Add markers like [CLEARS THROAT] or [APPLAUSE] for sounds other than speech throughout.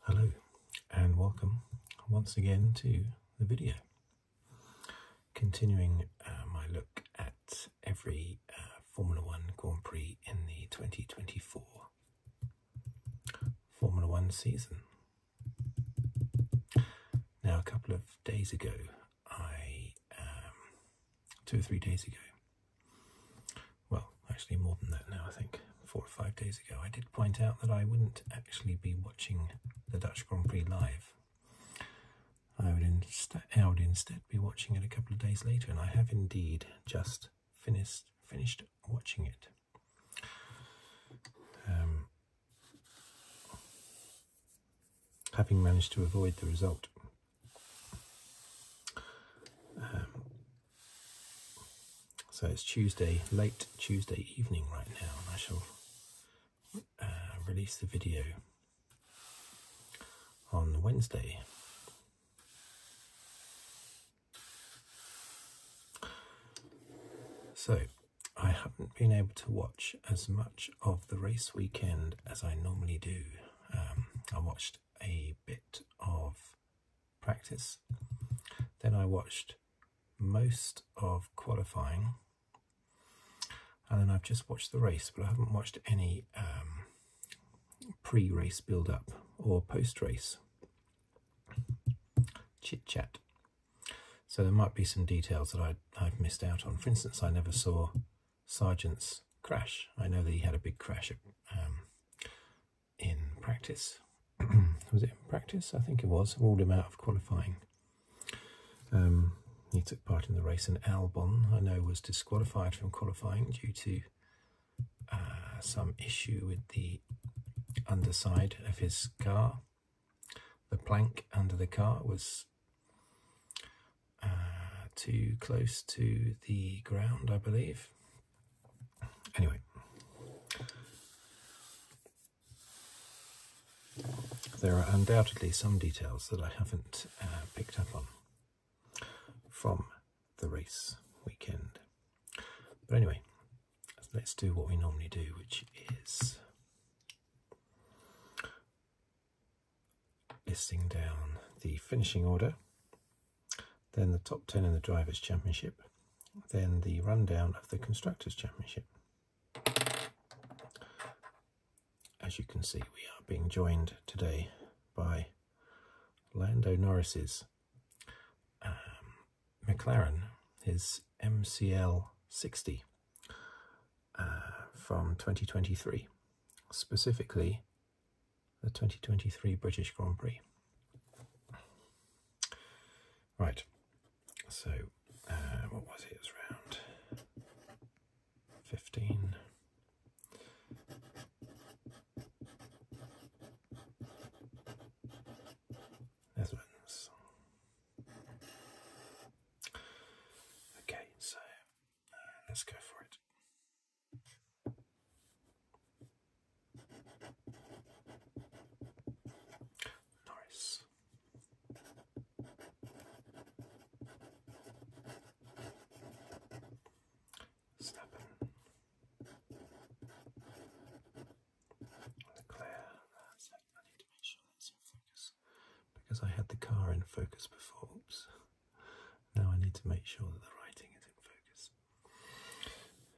Hello and welcome once again to the video. Continuing uh, my look at every uh, Formula One Grand Prix in the 2024 Formula One season. Now, a couple of days ago, I um, two or three days ago. Well, actually, more than that now, I think four or five days ago, I did point out that I wouldn't actually be watching the Dutch Grand Prix live. I would, insta I would instead be watching it a couple of days later, and I have indeed just finished finished watching it. Um, having managed to avoid the result um, so it's Tuesday, late Tuesday evening right now, and I shall uh, release the video on Wednesday. So, I haven't been able to watch as much of the race weekend as I normally do. Um, I watched a bit of practice. Then I watched most of qualifying. And then I've just watched the race, but I haven't watched any um, pre race build up or post race chit chat. So there might be some details that I've missed out on. For instance, I never saw sergeant's crash. I know that he had a big crash um, in practice. [CLEARS THROAT] was it in practice? I think it was. Ruled him out of qualifying. Um, he took part in the race, and Albon, I know, was disqualified from qualifying due to uh, some issue with the underside of his car. The plank under the car was uh, too close to the ground, I believe. Anyway, there are undoubtedly some details that I haven't uh, picked up on from the race weekend. But anyway, let's do what we normally do, which is listing down the finishing order, then the top 10 in the Drivers' Championship, then the rundown of the Constructors' Championship. As you can see, we are being joined today by Lando Norris's um, McLaren, his MCL 60 uh, from 2023, specifically the 2023 British Grand Prix. Right, so uh, what was it? It was round 15. Okay, so uh, let's go for it. Norris. Steppen. Leclerc. I need to make sure that's in focus because I had the car in focus before. Oops. Now I need to make sure that the writing is in focus.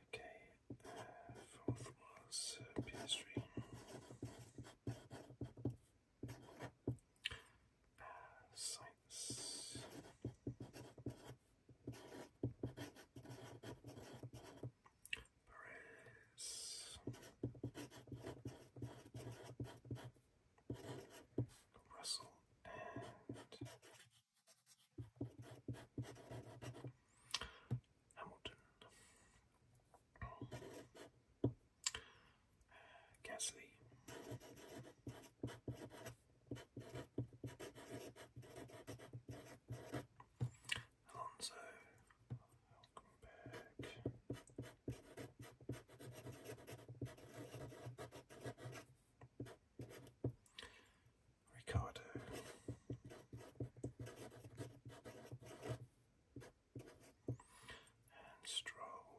Okay, fourth was PS3. science. Perez. Russell and Hamilton. Uh, Gasly. Alonso. Welcome back. Ricardo. And Stroll.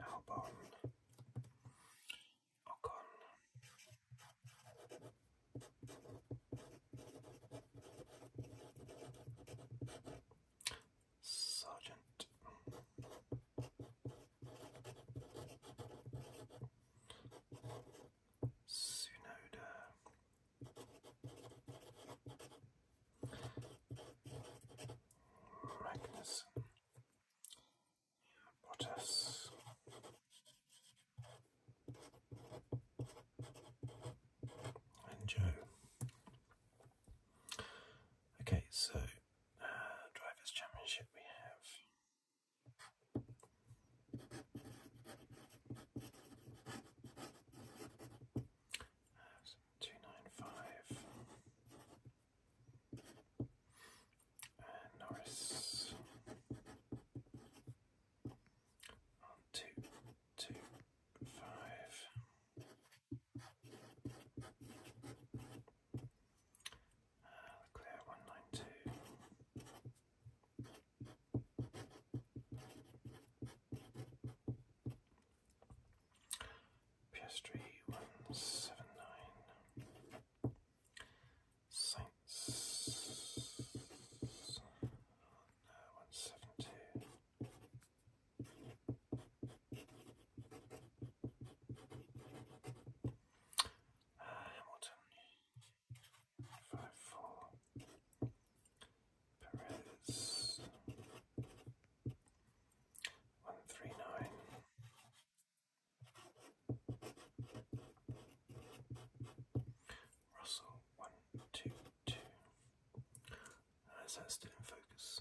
Albon. Ocon. Sergeant Sunoda Magnus Bottas Joe. Okay, so uh, Drivers' Championship we have. two nine five Norris one, two, two, five. Uh, look there, one, nine, two. PS3 179 Saints uh, one seven two. Hamilton five four. Perez one three nine. Russell, one, two, two. Uh, is that still in focus?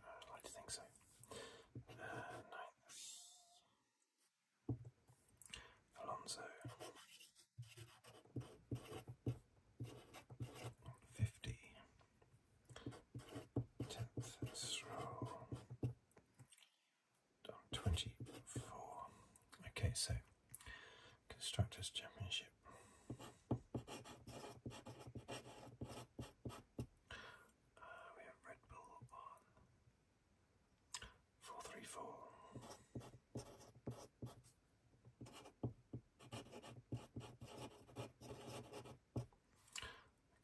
Uh, I'd like to think so. Uh, Alonso. 50. 10th Stroll. 24. Okay, so Constructors' Championship. Uh, we have Red Bull on 434.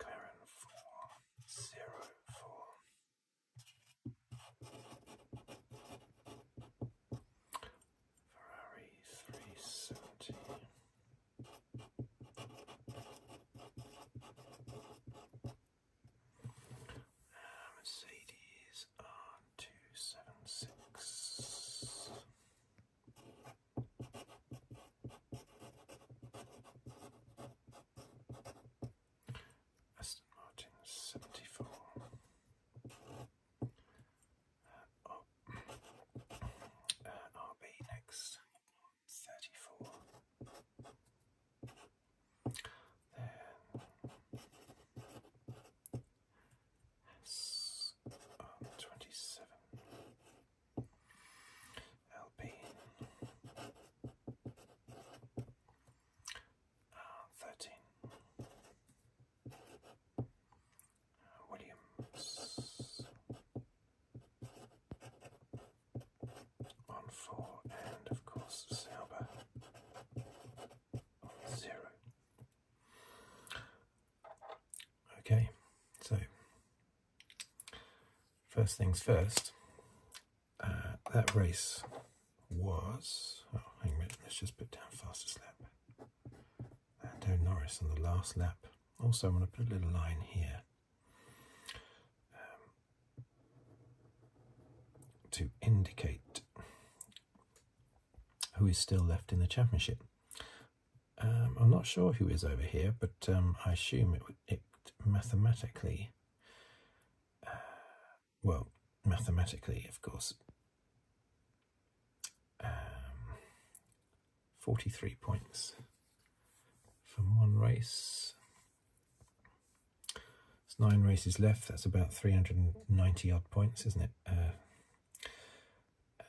McLaren 4 zero four. Ferrari three seventy. Uh, Mercedes R two seven six. Ferrari Aston Martin 74. Uh, uh, RB next 34. Then S 27. Alpine. Uh, 13. Uh, Williams on 4 and of course Sauber 0. Okay, so First things first, uh, that race was. Oh, hang on. let's just put down fastest lap. Lando uh, Norris on the last lap. Also, I'm going to put a little line here um, to indicate who is still left in the championship. Um, I'm not sure who is over here, but um, I assume it, it mathematically, uh, well, mathematically, of course, um, 43 points from one race. It's nine races left, that's about 390 odd points, isn't it? Uh, uh,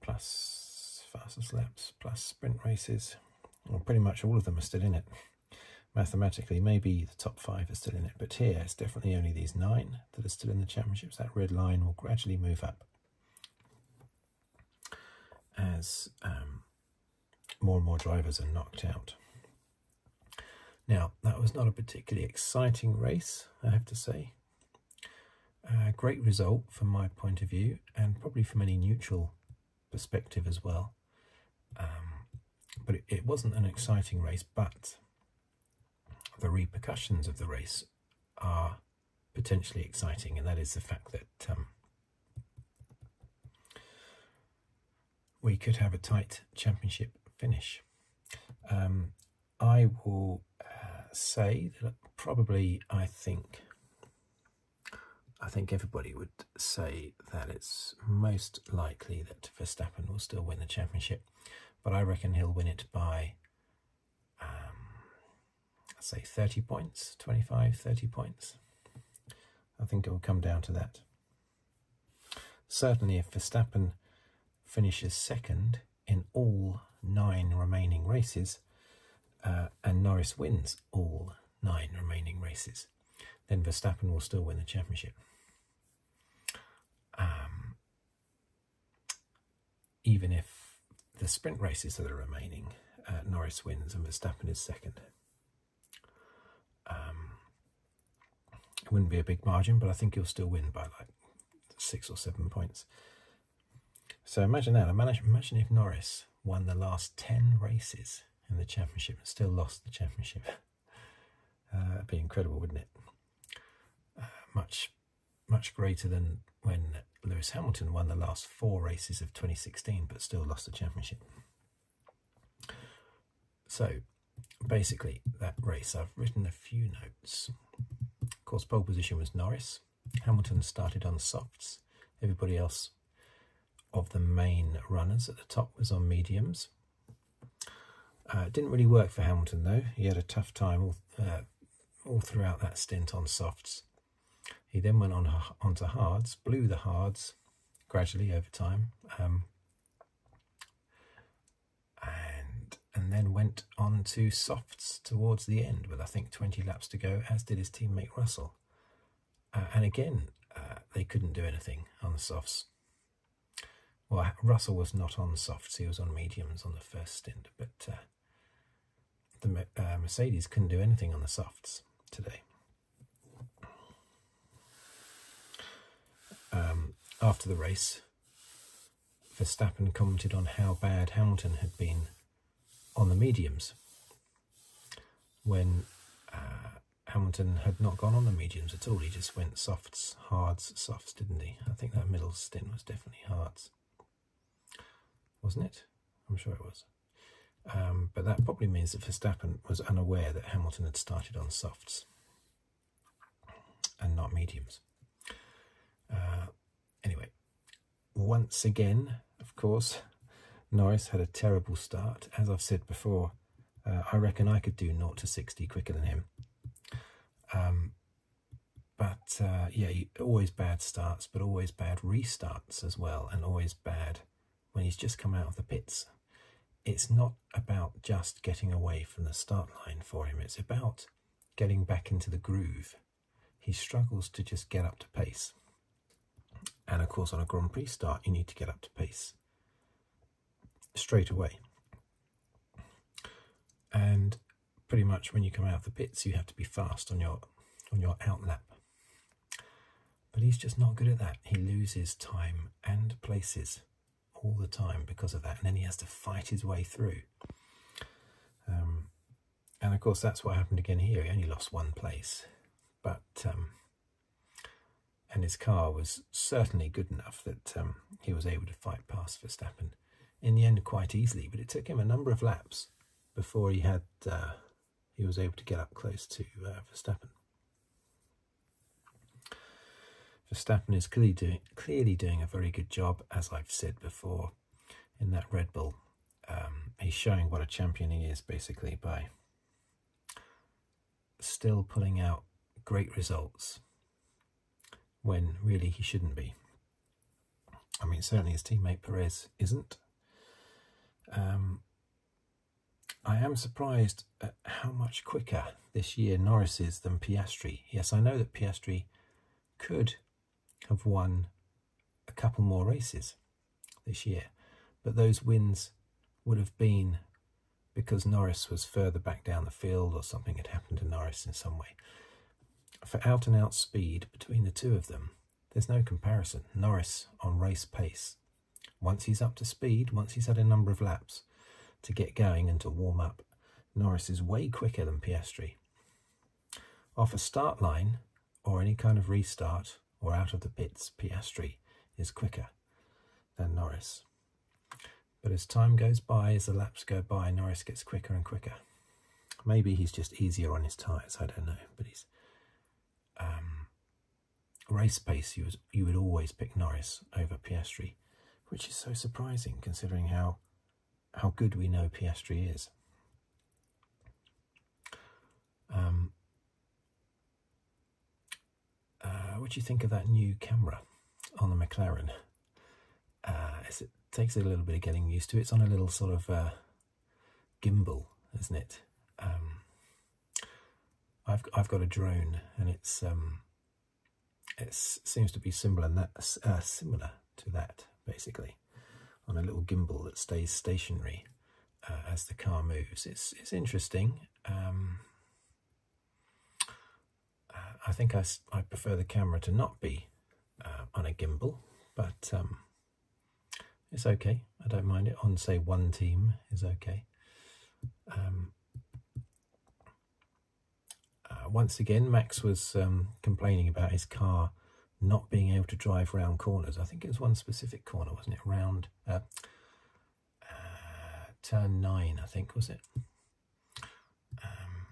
plus fastest laps, plus sprint races well, pretty much all of them are still in it. [LAUGHS] Mathematically, maybe the top five are still in it, but here it's definitely only these nine that are still in the championships. That red line will gradually move up as um, more and more drivers are knocked out. Now, that was not a particularly exciting race, I have to say. A great result from my point of view, and probably from any neutral perspective as well. Um, but it, wasn't an exciting race, but the repercussions of the race are potentially exciting, and that is the fact that um, we could have a tight championship finish. Um, I will uh, say that probably I think I think everybody would say that it's most likely that Verstappen will still win the championship, but I reckon he'll win it by, um, I'd say, 30 points, 25, 30 points. I think it will come down to that. Certainly, if Verstappen finishes second in all nine remaining races uh, and Norris wins, all nine remaining races. Then Verstappen will still win the championship. Um, even if the sprint races that are remaining, uh, Norris wins and Verstappen is second. Um, it wouldn't be a big margin, but I think he'll still win by like six or seven points. So imagine that. imagine if Norris won the last 10 races in the championship and still lost the championship. [LAUGHS] Uh, be incredible, wouldn't it? Uh, much, much greater than when Lewis Hamilton won the last four races of 2016 but still lost the championship. So, basically, that race, I've written a few notes. Of course, pole position was Norris. Hamilton started on softs. Everybody else of the main runners at the top was on mediums. Uh, it didn't really work for Hamilton though. He had a tough time all, uh, all throughout that stint on softs. He then went on onto hards, blew the hards gradually over time, um, and and then went on to softs towards the end with I think 20 laps to go, as did his teammate Russell. Uh, and again, uh, they couldn't do anything on the softs. Well, Russell was not on softs, he was on mediums on the first stint, but uh, the Mercedes couldn't do anything on the softs today. Um, after the race, Verstappen commented on how bad Hamilton had been on the mediums when uh, Hamilton had not gone on the mediums at all. He just went softs, hards, softs, didn't he? I think that middle stint was definitely hards, wasn't it? I'm sure it was. Um, but that probably means that Verstappen was unaware that Hamilton had started on softs and not mediums. Uh, anyway, once again, of course, Norris had a terrible start. As I've said before, uh, I reckon I could do 0 to 60 quicker than him. Um, but uh, yeah, always bad starts, but always bad restarts as well, and always bad when he's just come out of the pits. It's not about just getting away from the start line for him, it's about getting back into the groove. He struggles to just get up to pace. And of course, on a Grand Prix start, you need to get up to pace straight away. And pretty much when you come out of the pits, you have to be fast on your on your out lap. But he's just not good at that. He loses time and places all the time because of that, and then he has to fight his way through. Um, and of course, that's what happened again here. He only lost one place, but um, and his car was certainly good enough that um, he was able to fight past Verstappen in the end quite easily. But it took him a number of laps before he had uh, he was able to get up close to uh, Verstappen. Verstappen is clearly doing, clearly doing a very good job, as I've said before in that Red Bull. Um, he's showing what a champion he is basically by still pulling out great results when really he shouldn't be. I mean, certainly his teammate Perez isn't. Um, I am surprised at how much quicker this year Norris is than Piastri. Yes, I know that Piastri could have won a couple more races this year, but those wins would have been because Norris was further back down the field or something had happened to Norris in some way. For out and out speed between the two of them, there's no comparison. Norris on race pace. Once he's up to speed, once he's had a number of laps to get going and to warm up, Norris is way quicker than Piastri. Off a start line or any kind of restart or out of the pits, Piastri is quicker than Norris. But as time goes by, as the laps go by, Norris gets quicker and quicker. Maybe he's just easier on his tyres, I don't know. But he's um, race pace, you would, you would always pick Norris over Piastri, which is so surprising considering how how good we know Piastri is. Um, uh, what do you think of that new camera on the McLaren? Uh, it takes a little bit of getting used to. It's on a little sort of uh, gimbal, isn't it? Um, I've I've got a drone, and it's um, it seems to be similar that, similar to that basically on a little gimbal that stays stationary uh, as the car moves. It's it's interesting. Um, uh, I think I, I prefer the camera to not be uh, on a gimbal, but um, it's okay. I don't mind it. On say one team is okay. Um, once again, Max was complaining about his car not being able to drive round corners. I think it was one specific corner, wasn't it? Round uh, uh, turn nine, I think, was it? Um,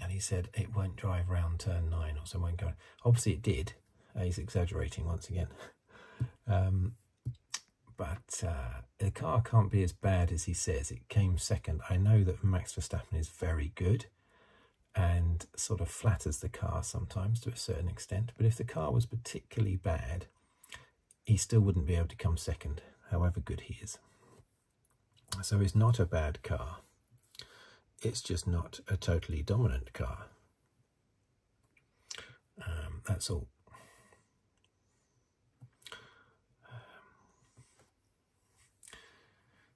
and he said it won't drive round turn nine, or so won't go. Obviously, it did. Uh, he's exaggerating once again. [LAUGHS] Um, but the car can't be as bad as he says. It came second. I know that Max Verstappen is very good and sort of flatters the car sometimes to a certain extent. But if the car was particularly bad, he still wouldn't be able to come second, however good he is. So it's not a bad car. It's just not a totally dominant car. Um, that's all. Um,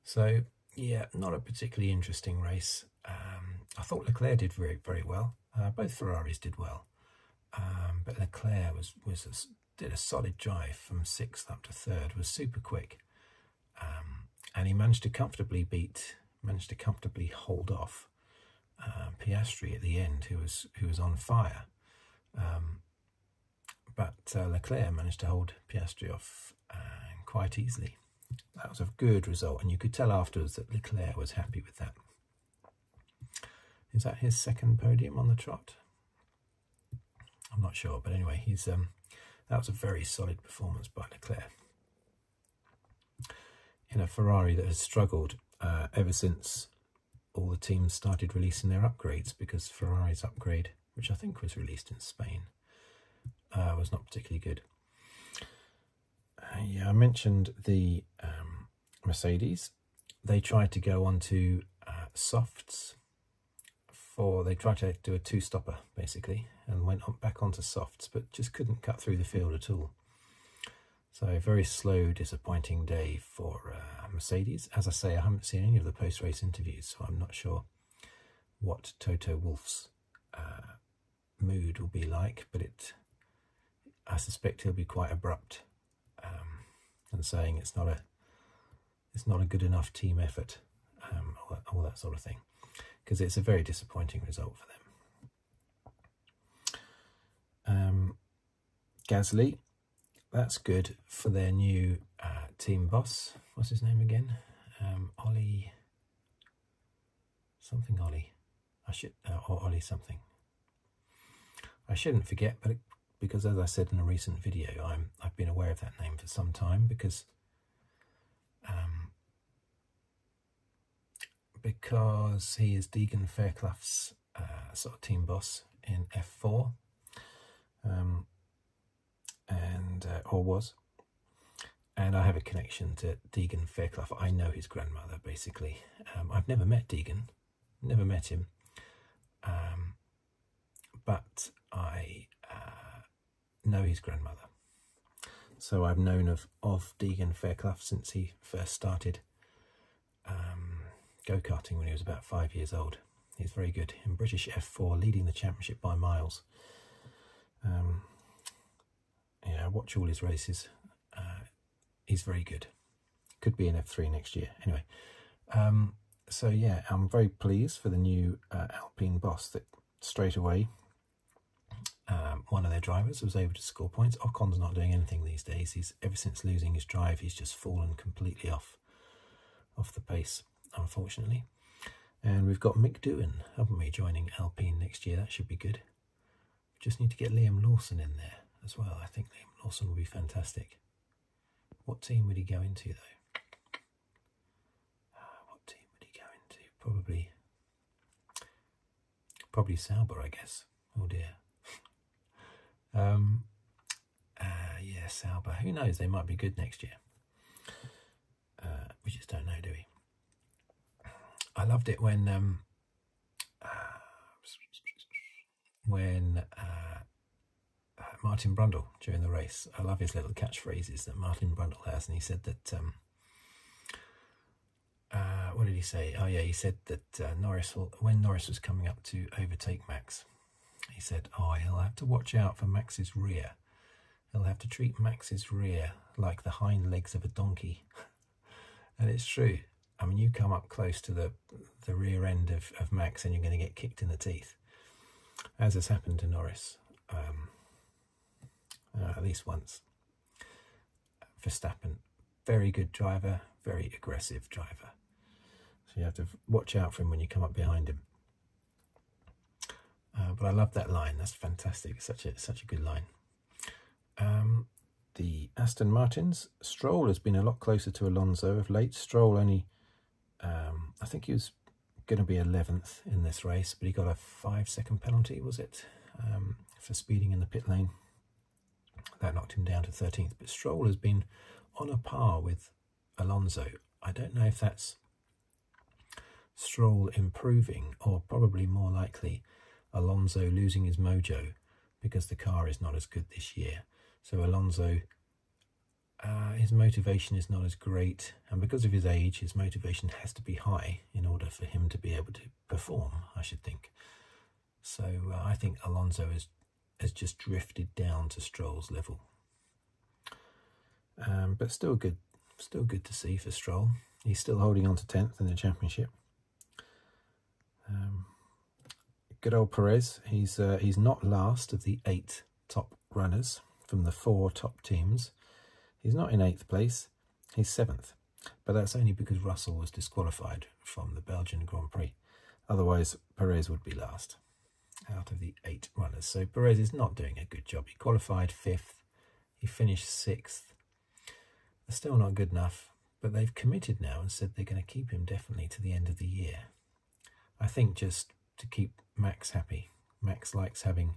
so yeah, not a particularly interesting race. Um, I thought Leclerc did very, very well. Uh, both Ferraris did well, um, but Leclerc was was did a solid drive from sixth up to third. Was super quick, um, and he managed to comfortably beat, managed to comfortably hold off uh, Piastri at the end, who was who was on fire. Um, but uh, Leclerc managed to hold Piastri off quite easily. That was a good result, and you could tell afterwards that Leclerc was happy with that. Is that his second podium on the trot? I'm not sure, but anyway, he's um, that was a very solid performance by Leclerc in a Ferrari that has struggled uh, ever since all the teams started releasing their upgrades because Ferrari's upgrade, which I think was released in Spain, uh, was not particularly good. Uh, yeah, I mentioned the um, Mercedes. They tried to go on to uh, softs for, they tried to do a two-stopper basically and went back onto softs but just couldn't cut through the field at all. So a very slow, disappointing day for uh, Mercedes. As I say, I haven't seen any of the post-race interviews, so I'm not sure what Toto Wolff's mood will be like, but it I suspect he'll be quite abrupt um, and saying it's not a it's not a good enough team effort, um, all, that, sort of thing, because it's a very disappointing result for them. Um, Gasly, that's good for their new uh, team boss. What's his name again? Um, Ollie Something Ollie. I should, uh, or Ollie something. I shouldn't forget, but because as I said in a recent video, I'm, I've been aware of that name for some time because um, because he is Deegan Fairclough's uh, sort of team boss in F4 and uh, or was. And I have a connection to Deegan Fairclough. I know his grandmother, basically. Um, I've never met Deegan, never met him. Um, but I uh, know his grandmother. So I've known of, of Deegan Fairclough since he first started um, go-karting when he was about five years old. He's very good in British F4, leading the championship by miles. Um, yeah, watch all his races. Uh, he's very good. Could be in F3 next year. Anyway, um, so yeah, I'm very pleased for the new uh, Alpine boss that straight away um, one of their drivers was able to score points. Ocon's not doing anything these days. He's ever since losing his drive, he's just fallen completely off off the pace unfortunately. And we've got Mick Doohan, haven't we, joining Alpine next year? That should be good. Just need to get Liam Lawson in there as well. I think Liam Lawson will be fantastic. What team would he go into, though? Ah, what team would he go into? Probably, probably Sauber, I guess. Oh dear. [LAUGHS] um, uh, yeah, Sauber. Who knows? They might be good next year. Uh, we just don't know, do we? I loved it when um, uh, when uh, uh, Martin Brundle during the race. I love his little catchphrases that Martin Brundle has, and he said that. Um, uh, what did he say? Oh yeah, he said that uh, Norris will, when Norris was coming up to overtake Max, he said, "Oh, he'll have to watch out for Max's rear He'll have to treat Max's rear like the hind legs of a donkey. [LAUGHS] and it's true. I mean, you come up close to the, the rear end of, of Max and you're going to get kicked in the teeth, as has happened to Norris um, uh, at least once. Verstappen, very good driver, very aggressive driver. So you have to watch out for him when you come up behind him. Uh, but I love that line. That's fantastic. Such a such a good line. Um, the Aston Martins. Stroll has been a lot closer to Alonso of late. Stroll only, um, I think he was going to be 11th in this race, but he got a five second penalty, was it, um, for speeding in the pit lane. That knocked him down to 13th. But Stroll has been on a par with Alonso. I don't know if that's Stroll improving, or probably more likely, Alonso losing his mojo because the car is not as good this year. So Alonso, uh, his motivation is not as great, and because of his age, his motivation has to be high in order for him to be able to perform, I should think. So uh, I think Alonso has, has just drifted down to Stroll's level. Um, but still good, still good to see for Stroll. He's still holding on to tenth in the championship. Um, good old Perez. He's uh, he's not last of the eight top runners from the four top teams. He's not in eighth place. He's seventh, but that's only because Russell was disqualified from the Belgian Grand Prix. Otherwise, Perez would be last out of the eight runners. So Perez is not doing a good job. He qualified fifth he finished 6th. They're still not good enough, but they've committed now and said they're going to keep him definitely to the end of the year. I think just to keep Max happy. Max likes having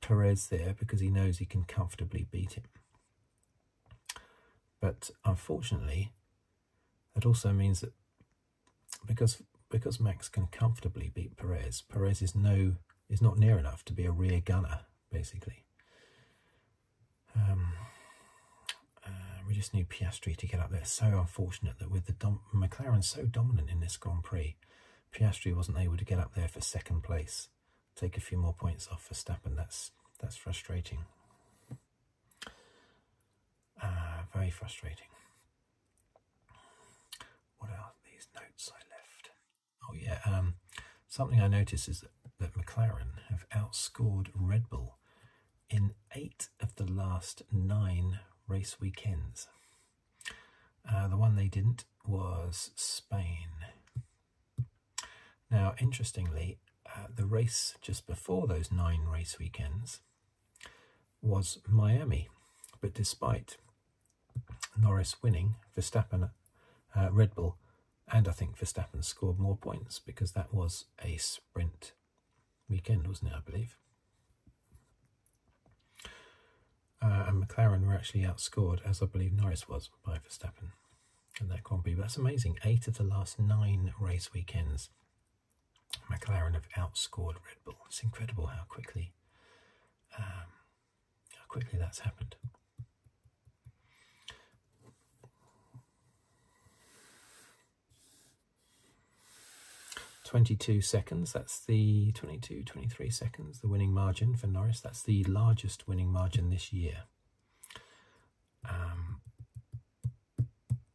Perez there because he knows he can comfortably beat him. But unfortunately, that also means that because because Max can comfortably beat Perez. Perez is no is not near enough to be a rear gunner, basically. Um, uh, we just need Piastri to get up there. So unfortunate that with the McLaren so dominant in this Grand Prix, Piastri wasn't able to get up there for second place. Take a few more points off for Stappen. That's that's frustrating. Uh, very frustrating. What are these notes I left? Oh yeah, um, something I noticed is that, that McLaren have outscored Red Bull in eight of the last nine race weekends. Uh, the one they didn't was Spain. Now, interestingly, uh, the race just before those nine race weekends, was Miami. But despite Norris winning, Verstappen, uh, Red Bull, and I think Verstappen scored more points because that was a sprint weekend, wasn't it? I believe. Uh, and McLaren were actually outscored, as I believe Norris was, by Verstappen in that Grand Prix. But that's amazing. Eight of the last nine race weekends McLaren have outscored Red Bull. It's incredible how quickly um, how quickly that's happened. Twenty-two seconds. That's the 22, 23 seconds. The winning margin for Norris. That's the largest winning margin this year. Um,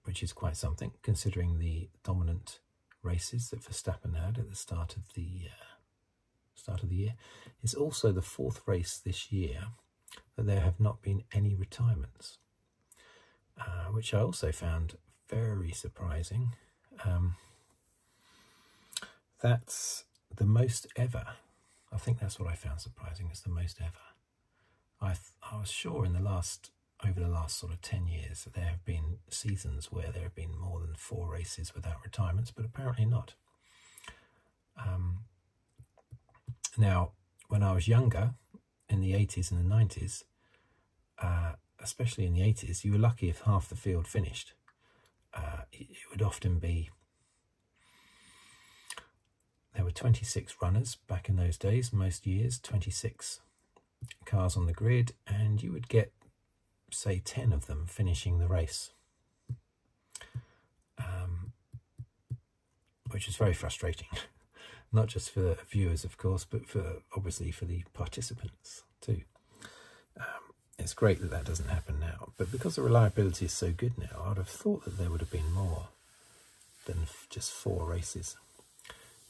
which is quite something considering the dominant races that Verstappen had at the start of the uh, start of the year. is also the fourth race this year that there have not been any retirements, uh, which I also found very surprising. Um, that's the most ever. I think that's what I found surprising. It's the most ever. I I was sure in the last over the last sort of 10 years, there have been seasons where there have been more than four races without retirements, but apparently not. Um, now, when I was younger, in the 80s and the 90s, uh, especially in the 80s, you were lucky if half the field finished. Uh, it would often be there were 26 runners back in those days, most years, 26 cars on the grid and you would get, say, 10 of them finishing the race. Um, which is very frustrating, [LAUGHS] not just for viewers, of course, but for obviously for the participants too. Um, it's great that that doesn't happen now, but because the reliability is so good now, I'd have thought that there would have been more than just four races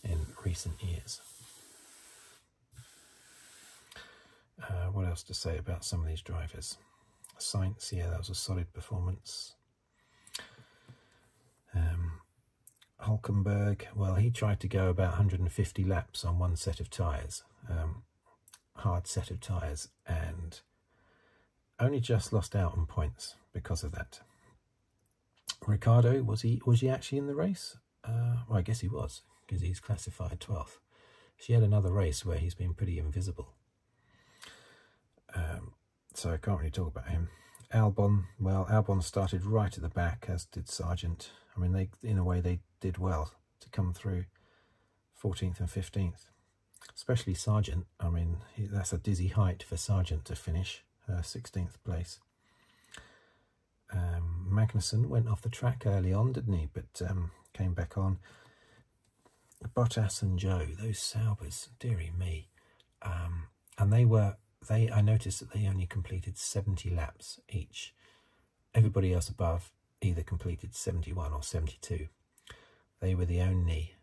in recent years. Uh, what else to say about some of these drivers? Science, yeah, that was a solid performance. Um, Hulkenberg, well, he tried to go about 150 laps on one set of tyres, um, hard set of tyres, and only just lost out on points because of that. Ricardo was he was he actually in the race? Uh, I guess he was because he's classified 12th. She had another race where he's been pretty invisible. Um, so I can't really talk about him. Albon, well, Albon started right at the back, as did Sergeant. I mean, they in a way they did well to come through 14th and 15th, especially Sergeant. I mean, that's a dizzy height for Sergeant to finish uh, 16th place. Um, Magnussen went off the track early on, didn't he? But um, came back on. Bottas and Joe, those Saubers, dearie me. Um, and they were, they. I noticed that they only completed 70 laps each. Everybody else above either completed 71 or 72. They were the only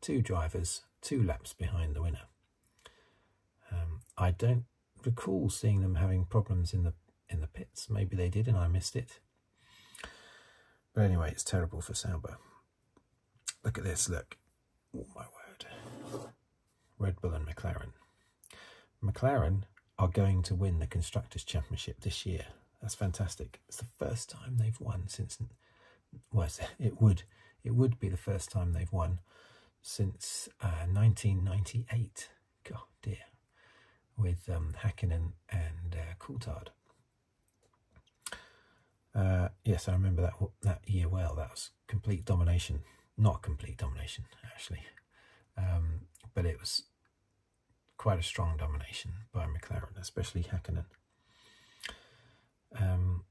two drivers two laps behind the winner. Um, I don't recall seeing them having problems in the in the pits. Maybe they did and I missed it. But anyway, it's terrible for Sauber. Look at this, look. Oh my word. Red Bull and McLaren. McLaren are going to win the Constructors' Championship this year. That's fantastic. It's the first time they've won since, well, [LAUGHS] it would, it would be the first time they've won since 1998. Uh, God dear, with um, Hakkinen and uh, Coulthard. Uh, yes, I remember that that year well. That was complete domination, not complete domination actually, um, but it was quite a strong domination by McLaren, especially Hakkinen. Um,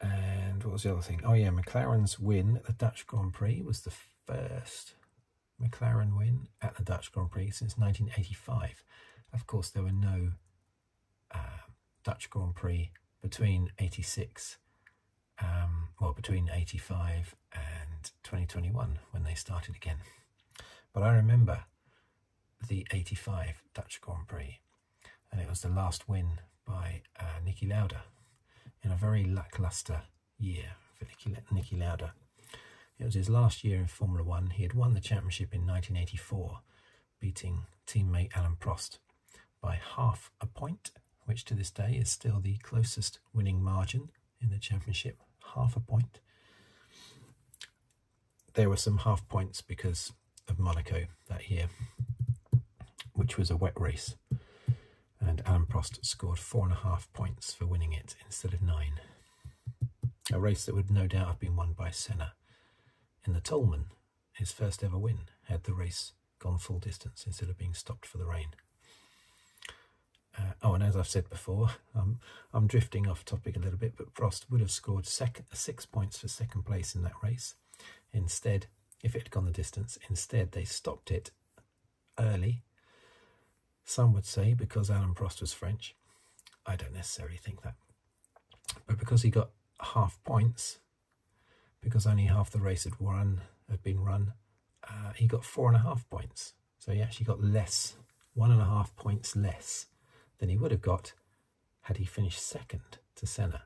and what was the other thing? Oh, yeah, McLaren's win at the Dutch Grand Prix was the first McLaren win at the Dutch Grand Prix since 1985. Of course, there were no um, Dutch Grand Prix between 86, um, well, between 85 and 2021 when they started again. But I remember the 85 Dutch Grand Prix and it was the last win by uh, Nicky Lauda in a very lackluster year for Nicky, Nicky Lauda. It was his last year in Formula One. He had won the championship in 1984, beating teammate Alan Prost by half a point, which to this day is still the closest winning margin in the championship, half a point. There were some half points because of Monaco that year, which was a wet race, and Alan Prost scored four and a half points for winning it instead of nine. A race that would no doubt have been won by Senna in the Tolman, his first ever win, had the race gone full distance instead of being stopped for the rain. Uh, oh, and as I've said before, um, I'm drifting off topic a little bit, but Prost would have scored sec- six points for second place in that race. Instead, if it had gone the distance. Instead, they stopped it early. Some would say because Alan Prost was French. I don't necessarily think that. But because he got half points, because only half the race had run had been run, uh, he got four and a half points. So he actually got less, one and a half points less than he would have got had he finished second to Senna.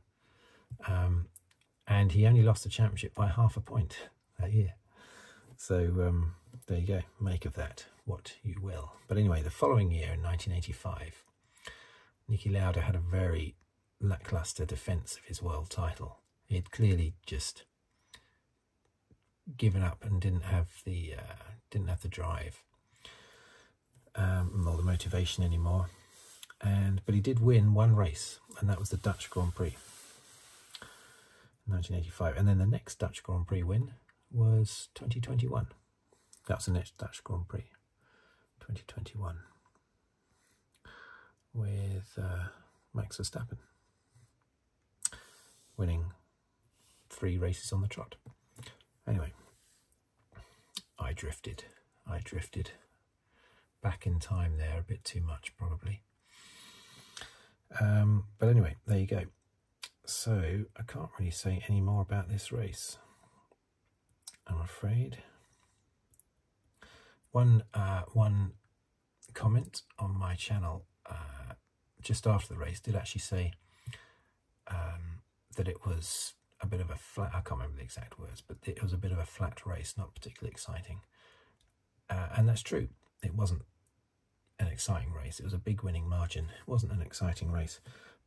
Um, and he only lost the championship by half a point that year. So um, there you go, make of that what you will. But anyway, the following year in 1985, Niki Lauda had a very lackluster defence of his world title. He had clearly just given up and didn't have the uh, didn't have the drive um, all the motivation anymore. And but he did win one race, and that was the Dutch Grand Prix, 1985. And then the next Dutch Grand Prix win was 2021. That's the next Dutch Grand Prix, 2021, with uh, Max Verstappen winning three races on the trot. Anyway, I drifted. I drifted back in time there a bit too much, probably. Um, but anyway, there you go. So I can't really say any more about this race, I'm afraid. One, uh, one comment on my channel uh, just after the race did actually say um, that it was a bit of a flat, I can't remember the exact words, but it was a bit of a flat race, not particularly exciting. Uh, and that's true. It wasn't an exciting race. It was a big winning margin. It wasn't an exciting race,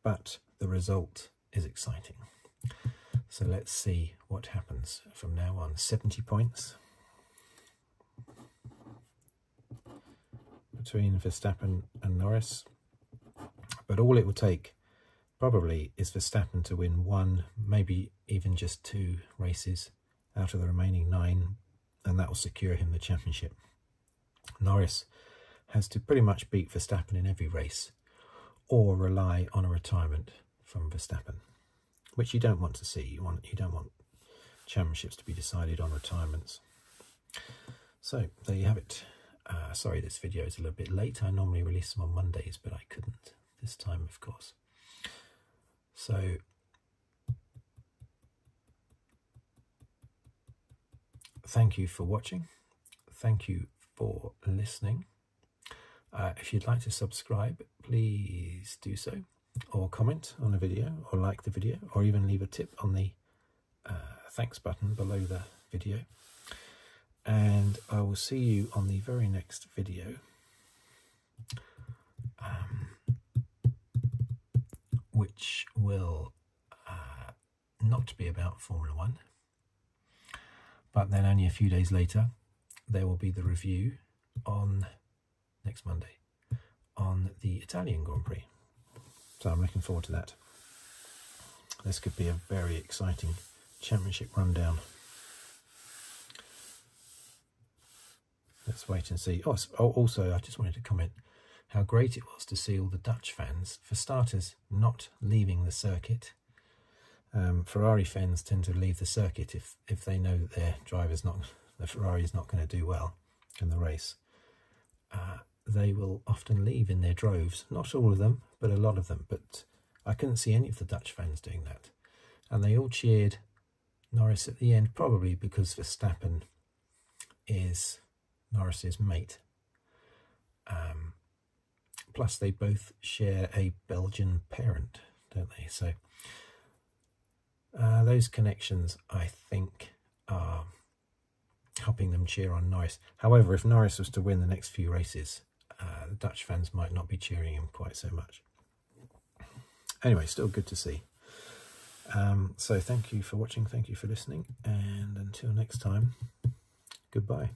but the result is exciting. So let's see what happens from now on. 70 points between Verstappen and Norris. But all it will take probably is Verstappen to win one, maybe even just two races out of the remaining nine, and that will secure him the championship. Norris has to pretty much beat Verstappen in every race or rely on a retirement from Verstappen, which you don't want to see. You want you don't want championships to be decided on retirements. So there you have it. Uh, sorry, this video is a little bit late. I normally release them on Mondays, but I couldn't this time, of course. So, thank you for watching. Thank you for listening. Uh, if you'd like to subscribe, please do so, or comment on the video, or like the video, or even leave a tip on the uh, thanks button below the video and I will see you on the very next video. Um, which will uh, not be about Formula One, but then only a few days later, there will be the review on next Monday on the Italian Grand Prix. So I'm looking forward to that. This could be a very exciting championship rundown. Let's wait and see. Oh, oh, also, I just wanted to comment how great it was to see all the Dutch fans, for starters, not leaving the circuit. Um, Ferrari fans tend to leave the circuit if if they know that their driver's not the Ferrari's not going to do well in the race. Uh, they will often leave in their droves. Not all of them, but a lot of them. But I couldn't see any of the Dutch fans doing that. And they all cheered Norris at the end, probably because Verstappen is Norris's mate. Um, plus, they both share a Belgian parent, don't they? So, uh, those connections, I think, are helping them cheer on Norris. However, if Norris was to win the next few races, uh, the Dutch fans might not be cheering him quite so much. Anyway, still good to see. Um, so thank you for watching, thank you for listening, and until next time, goodbye.